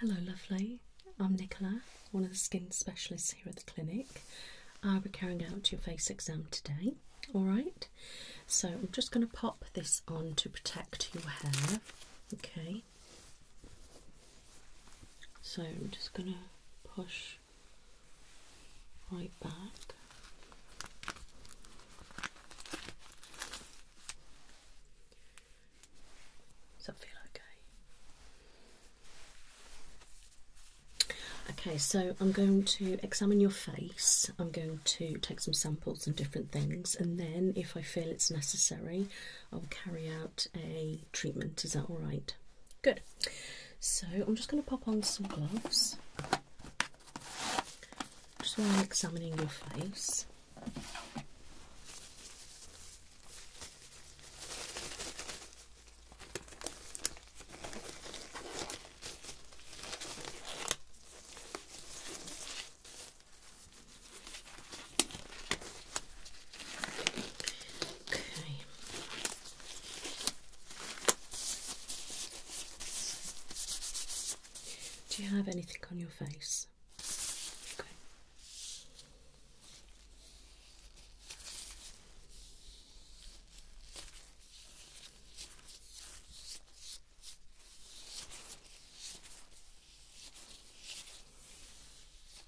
Hello, lovely. I'm Nicola, one of the skin specialists here at the clinic. I'll be carrying out your face exam today, alright? So I'm just going to pop this on to protect your hair, okay? So I'm just going to push right back. Does that feel okay? Okay, so I'm going to examine your face. I'm going to take some samples and different things, and then if I feel it's necessary, I'll carry out a treatment. Is that all right? Good. So I'm just going to pop on some gloves. Just while I'm examining your face. Do you have anything on your face?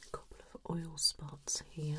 A couple of oil spots here.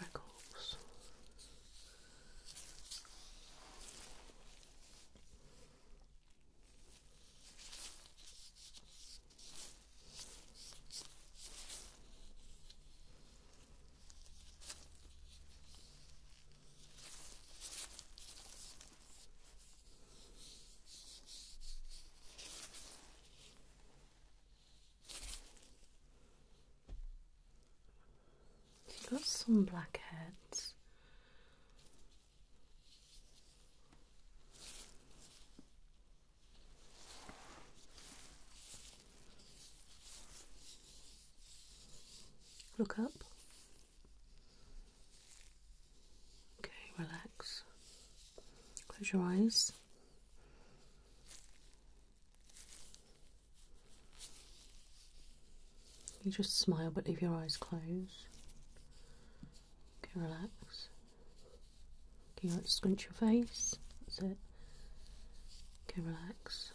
a couple of You've got some blackheads. Look up. Okay, relax. Close your eyes. You just smile but leave your eyes closed. Okay, relax. Okay, right, scrunch your face. That's it. Okay, relax.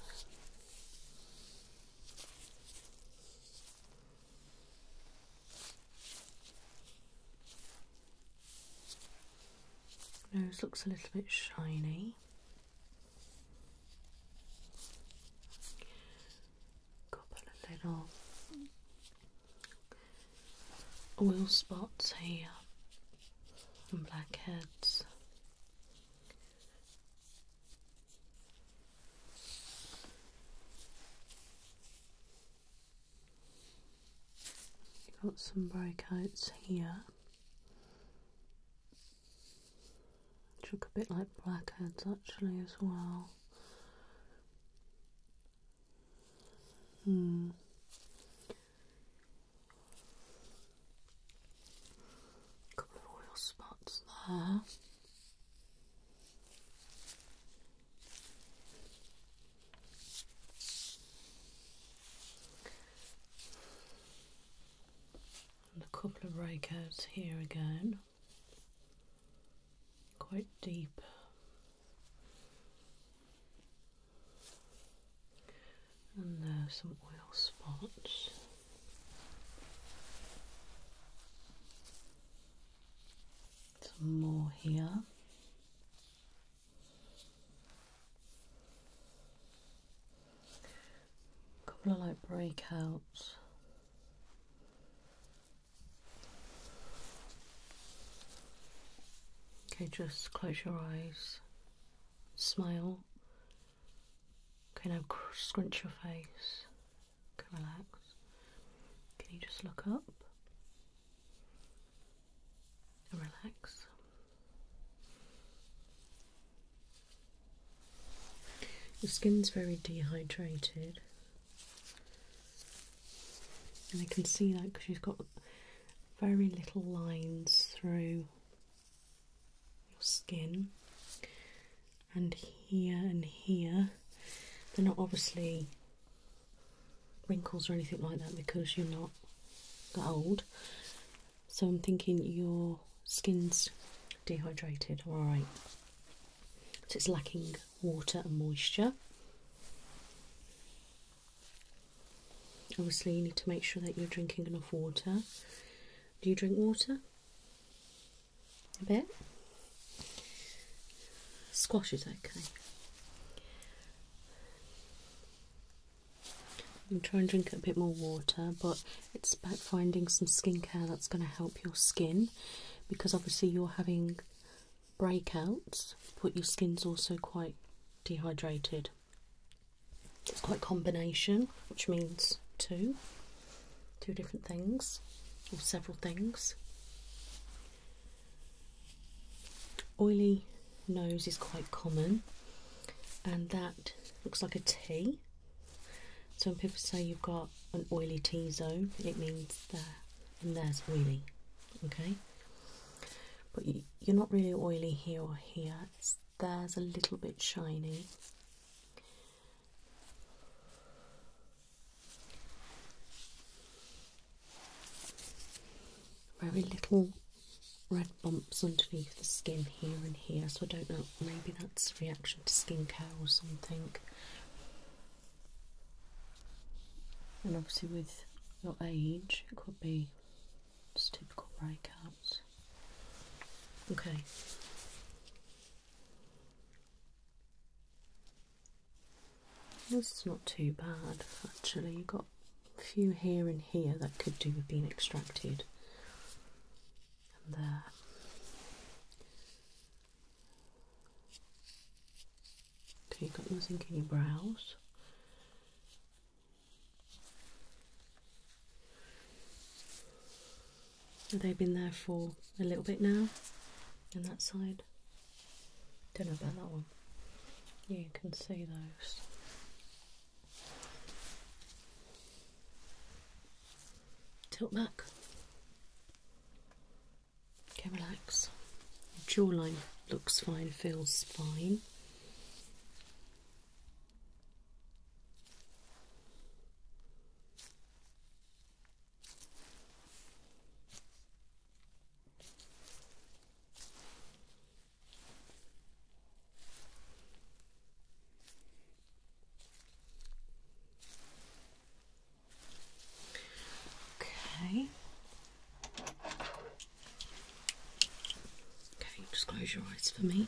Nose looks a little bit shiny. Got a little oil spots here and blackheads. got some breakouts here. Which look a bit like blackheads actually as well. Hmm. Couple of oil spots there a couple of breakouts here again, quite deep. And there's some oil spots. Some more here couple of like breakouts. Okay, just close your eyes, smile. Okay, now scrunch your face. Okay, relax. Can you just look up? And relax. Your skin's very dehydrated, and I can see that because you've got very little lines through your skin, and here and here. They're not obviously wrinkles or anything like that because you're not that old, so I'm thinking your skin's dehydrated, all right. So it's lacking water and moisture. Obviously, you need to make sure that you're drinking enough water. Do you drink water? A bit? Squash is okay. I'm trying to drink a bit more water, but it's about finding some skincare that's going to help your skin because obviously you're having breakouts, but your skin's also quite dehydrated. It's quite combination, which means two, two different things or several things. Oily nose is quite common, and that looks like a T so when people say you've got an oily T zone, it means there and there's oily, okay? But you're not really oily here or here, there's a little bit shiny. Very little red bumps underneath the skin here and here, so I don't know, maybe that's a reaction to skincare or something. And obviously, with your age, it could be just typical breakouts. Okay. This is not too bad actually. You've got a few here and here that could do with being extracted and there. Uh, okay, have got nothing in your brows. Have been there for a little bit now? On that side? Don't know about that one. you can see those. Tilt back. Okay, relax. Jawline looks fine, feels fine. Okay. Okay, just close your eyes for me.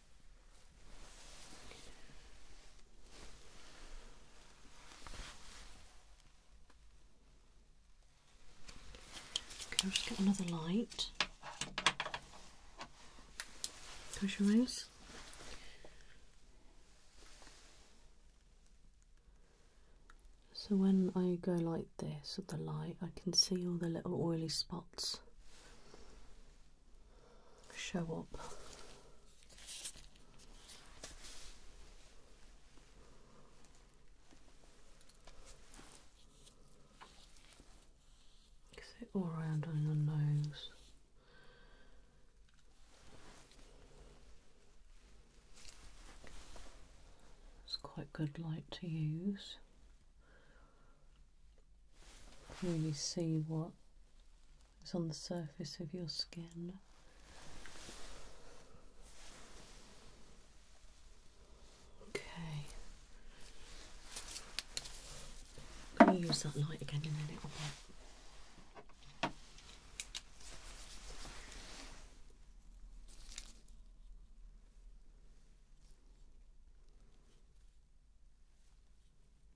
Okay, I'll just get another light. Close your eyes. So when I go like this with the light, I can see all the little oily spots show up. So all around on your nose. It's quite good light to use. really see what it's on the surface of your skin. Okay. Let me use that light again a little bit.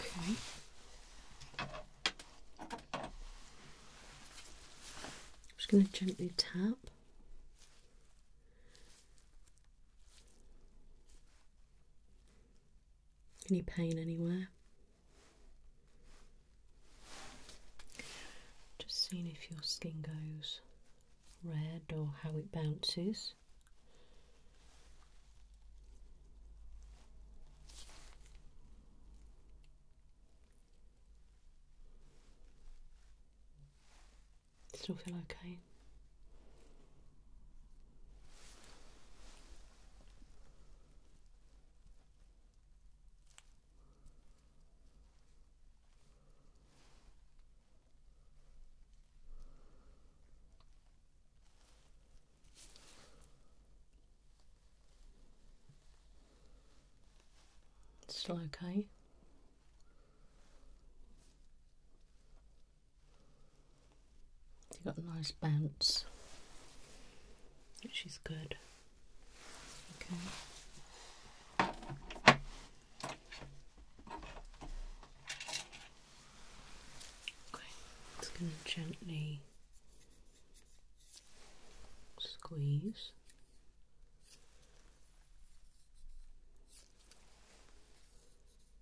Okay. I'm just going to gently tap any pain anywhere? Just seeing if your skin goes red or how it bounces. Still feel okay? Still okay. You've got a nice bounce, which is good. Okay. Okay, just going to gently squeeze.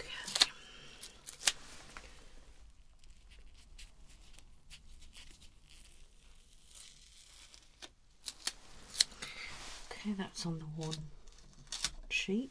Okay. Okay, that's on the one sheet.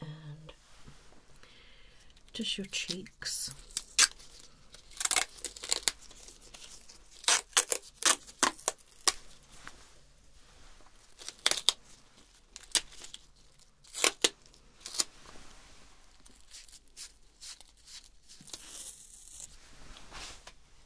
and just your cheeks.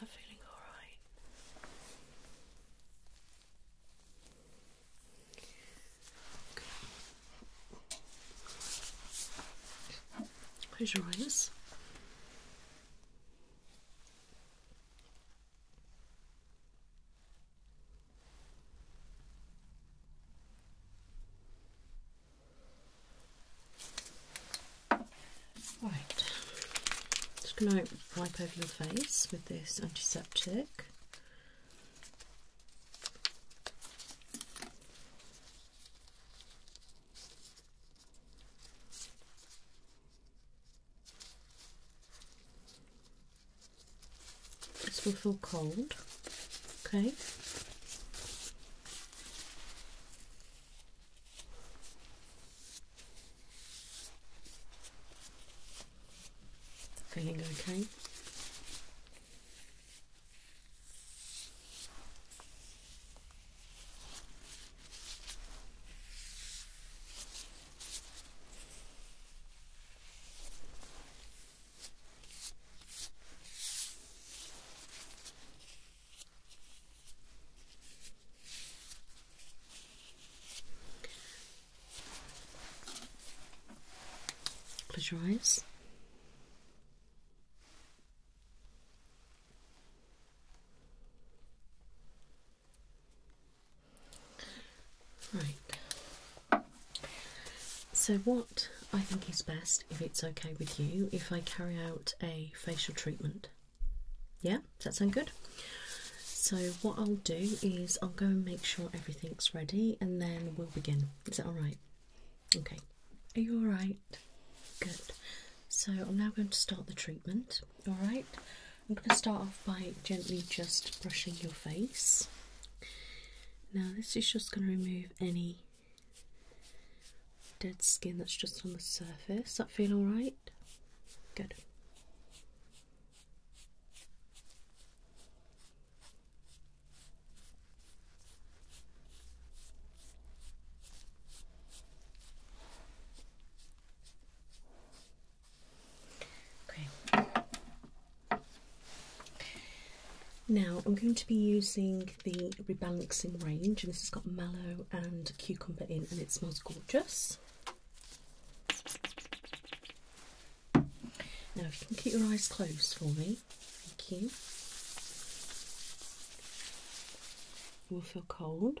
That feeling all right. Close your eyes. Right, just going to wipe over your face with this antiseptic. This will feel cold, okay. Feeling okay? Close your eyes. Right. So, what I think is best, if it's okay with you, if I carry out a facial treatment. Yeah, does that sound good? So, what I'll do is I'll go and make sure everything's ready and then we'll begin. Is that alright? Okay. Are you alright? Good. So I'm now going to start the treatment. Alright? I'm going to start off by gently just brushing your face. Now, this is just going to remove any dead skin that's just on the surface. That feel alright? Good. Okay. Now I'm going to be using the rebalancing range, and this has got mallow and cucumber in, and it smells gorgeous. Now, if you can keep your eyes closed for me, thank you. You will feel cold.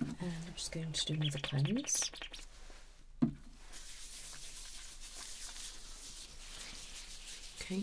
And I'm just going to do another cleanse. Okay.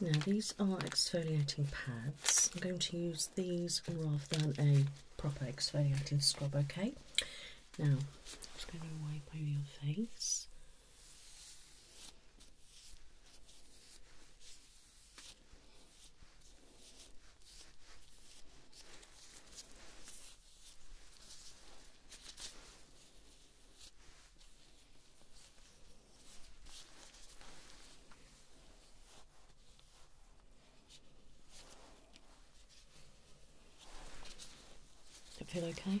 Now these are exfoliating pads. I'm going to use these rather than a proper exfoliating scrub, okay? Now, I'm just going to wipe over your face. Does it feel okay?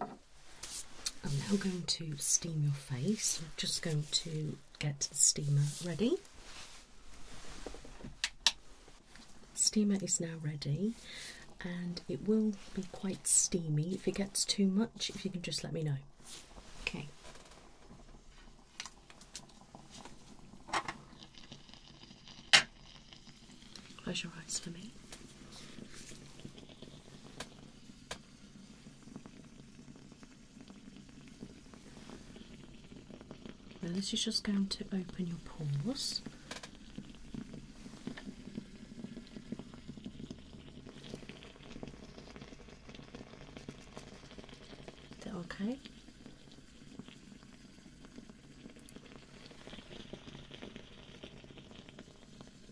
I'm now going to steam your face. I'm just going to get the steamer ready. Steamer is now ready and it will be quite steamy. If it gets too much, if you can just let me know. Okay. Close your eyes for me. this is just going to open your pores. Is that okay?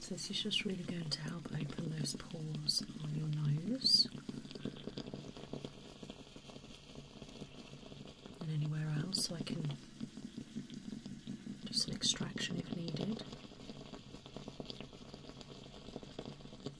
So this is just really going to help open those pores on your nose and anywhere else so I can do some extraction if needed.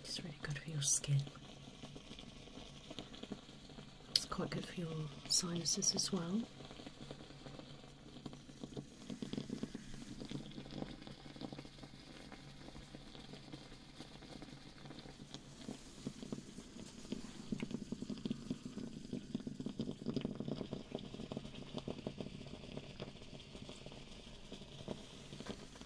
It's really good for your skin. It's quite good for your sinuses as well.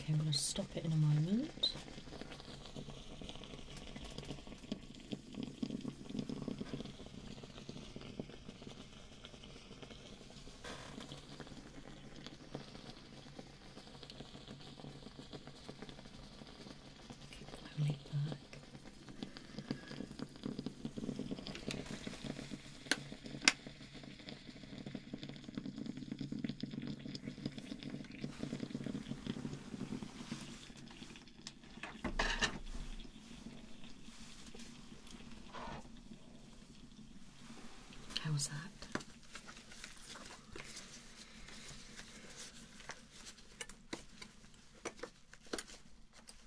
Okay, I'm going to stop it in a moment. How was that?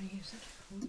I use it for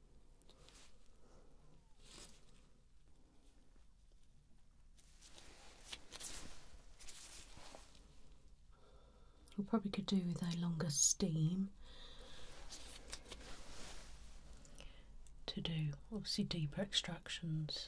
We probably could do with a longer steam to do obviously deeper extractions.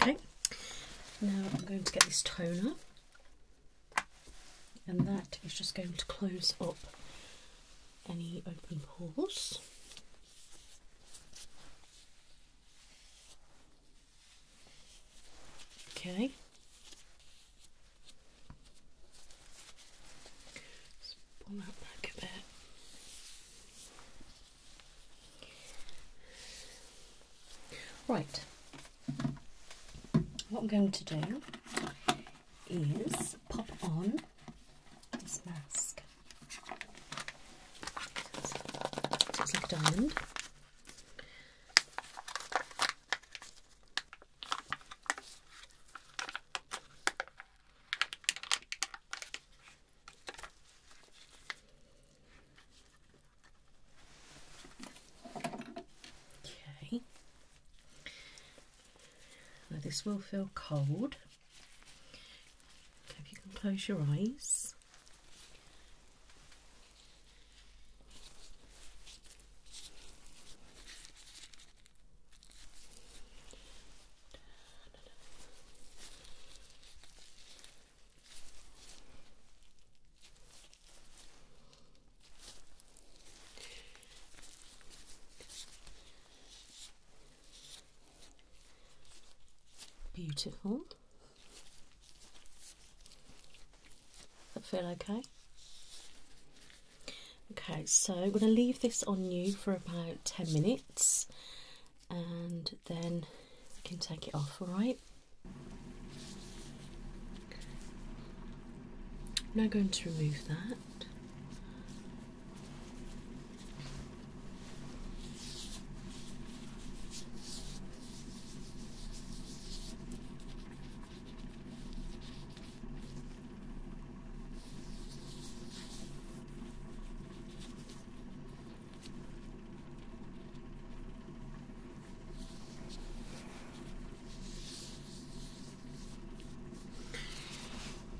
Okay, now I'm going to get this toner, and that is just going to close up any open pores. Okay. pull that back a bit. Right, what I'm going to do is pop on this mask. It's like diamond. Okay. Now this will feel cold. Okay, if you can close your eyes. Beautiful. That feel okay? Okay, so I'm going to leave this on you for about 10 minutes and then we can take it off, alright? I'm now going to remove that.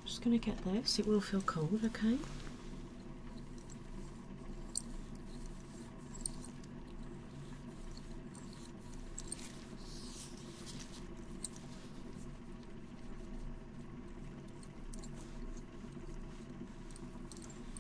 I'm just going to get this, it will feel cold, okay?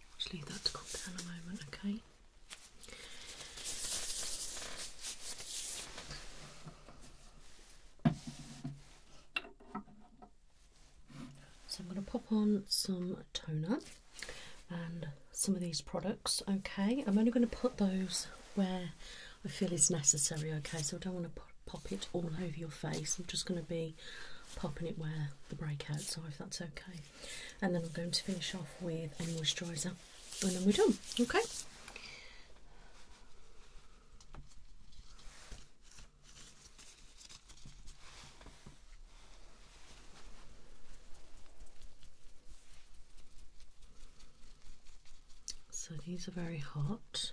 i just leave that to cool down a moment, okay? So I'm going to pop on some toner and some of these products, okay? I'm only going to put those where I feel is necessary, okay? So I don't want to pop it all over your face. I'm just going to be popping it where the breakouts are, if that's okay and then I'm going to finish off with a moisturiser, and then we're done. Okay. So these are very hot.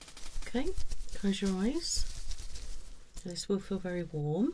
Okay, close your eyes. This will feel very warm.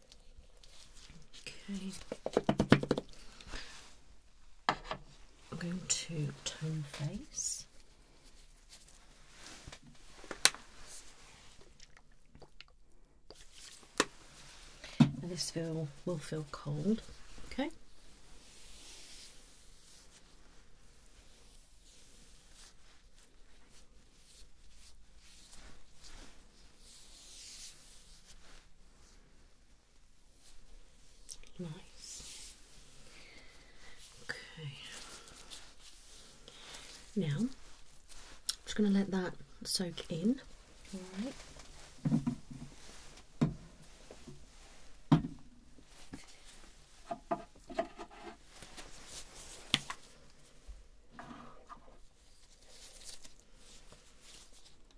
Okay. I'm going to tone face. this feel will feel cold. Okay. Nice. Okay. Now, I'm just going to let that soak in. All right.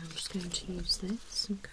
I'm just going to use this, okay.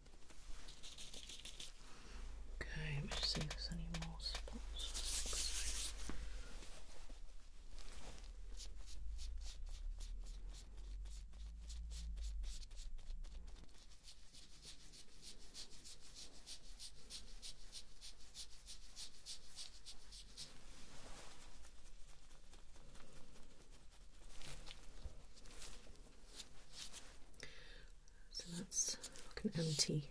Okay, let me see if there's any more spots. So that's like an empty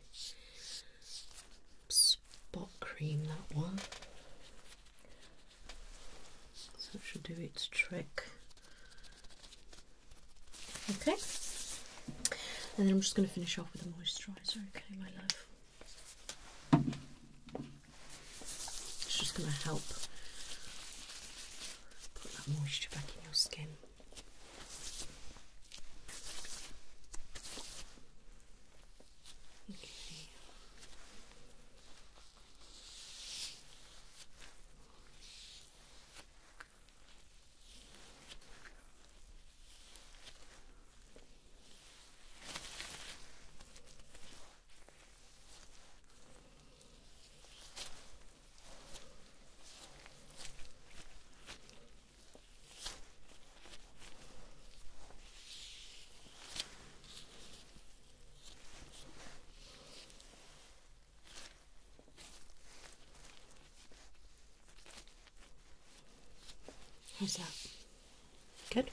spot cream, that one. So it should do its trick. Okay. And then I'm just going to finish off with a moisturiser, okay, my love. It's just going to help Put that moisture back in your skin. Okay. How's that? Good.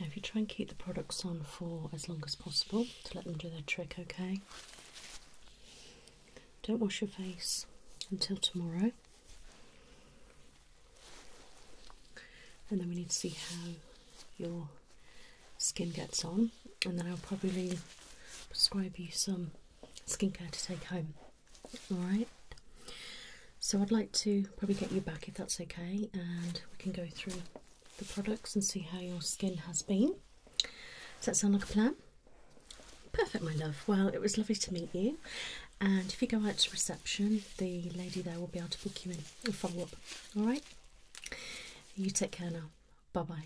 Now, if you try and keep the products on for as long as possible, to let them do their trick, okay? Don't wash your face until tomorrow. And then we need to see how your skin gets on. And then I'll probably prescribe you some skincare to take home. Alright? So I'd like to probably get you back if that's okay, and we can go through the products and see how your skin has been. Does that sound like a plan? Perfect, my love. Well, it was lovely to meet you. And if you go out to reception, the lady there will be able to book you in and follow up. All right? You take care now. Bye bye.